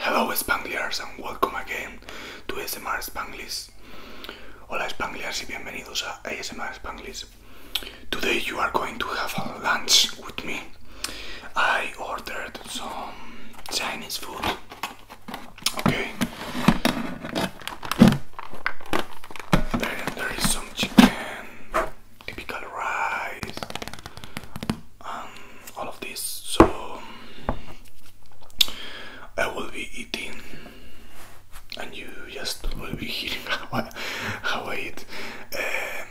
Hello Spangliers and welcome again to SMR Spanglish Hola Spanglish y bienvenidos a ASMR Spanglish. Today you are going to have lunch with me. I ordered some Chinese food. Okay. Then there is some chicken, typical rice, um, all of this. So I will be eating and you just will be hearing how I, how I eat. Uh,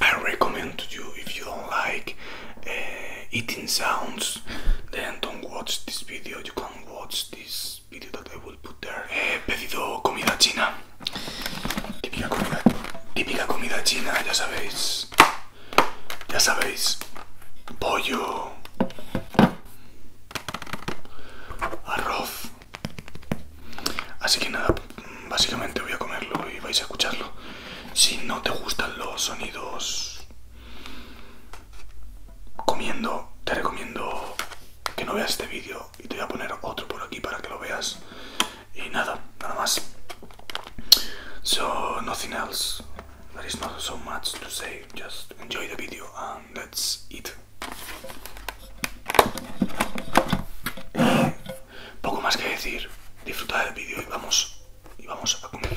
I recommend to you if you don't like uh, eating sounds then don't watch this video, you can watch this video that I will put there. He eh, pedido comida china, típica comida, típica comida china, ya sabéis. Pues, ya sabéis, pollo, arroz. Así que nada, básicamente voy a comerlo y vais a escucharlo. Si no te gustan los sonidos comiendo, te recomiendo que no veas este vídeo y te voy a poner otro por aquí para que lo veas. Y nada, nada más. So, nothing else. there is not so much to say, just enjoy the video and that's it. Poco más que decir, disfruta del vídeo y vamos, y vamos a comer.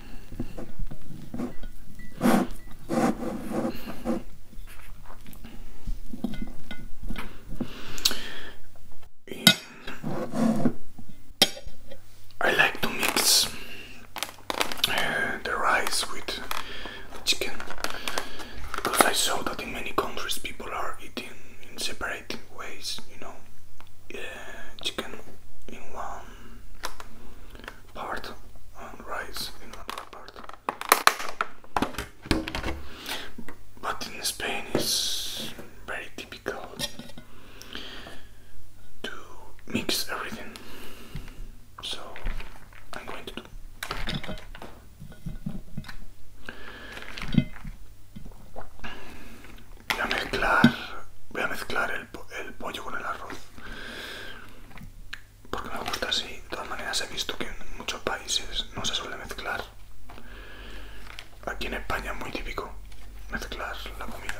I like to mix uh, the rice with the chicken because I saw that in many countries people are eating in separate ways, you know, uh, chicken in one part on rice in another part. But in Spain it's very typical to mix everything. So I'm going to do voy a mezclar voy a mezclar el, el pollo con el arroz porque me gusta así. De todas maneras he visto que en muchos países no se suele mezclar. Aquí en España es muy típico mezclar la comida.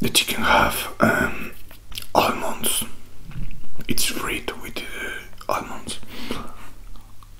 The chicken have um, almonds. It's fried with uh, almonds.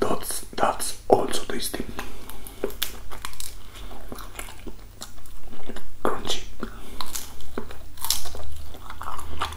that's that's also tasty. Crunchy.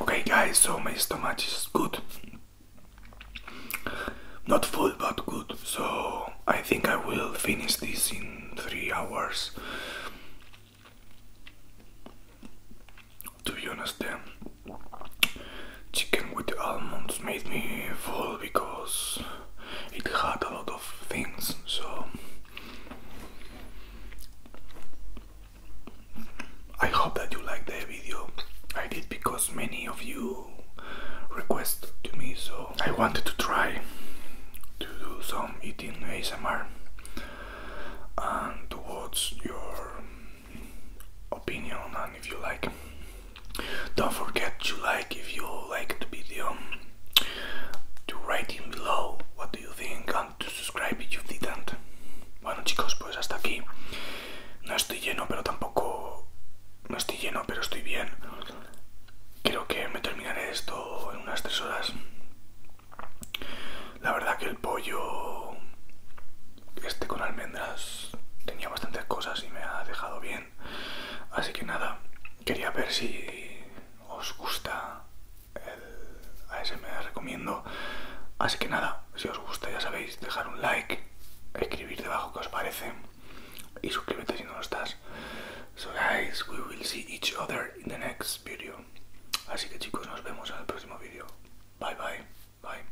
Okay guys, so my stomach is good. Not full but good. So I think I will finish this in three hours. To be honest, the chicken with almonds made me full because it had a lot of things. So I hope that you liked the video I did because many of you request to me so I wanted to try to do some eating ASMR and what's your opinion and if you like. Don't forget to like if you like the video, to write in below what do you think and to subscribe if you didn't. Bueno chicos, pues hasta aquí. No estoy lleno, pero tampoco... No estoy lleno, pero estoy bien. creo que me terminaré esto en unas tres horas. La verdad que el pollo este con almendras tenía bastantes cosas y me ha dejado bien. Así que nada, quería ver si os gusta el ASMR recomiendo. Así que nada, si os gusta ya sabéis, dejar un like, escribir debajo que os parece y suscríbete si no lo estás. So guys, we will see each other in the next video. Así que chicos, nos vemos en el próximo video. Bye bye. Bye.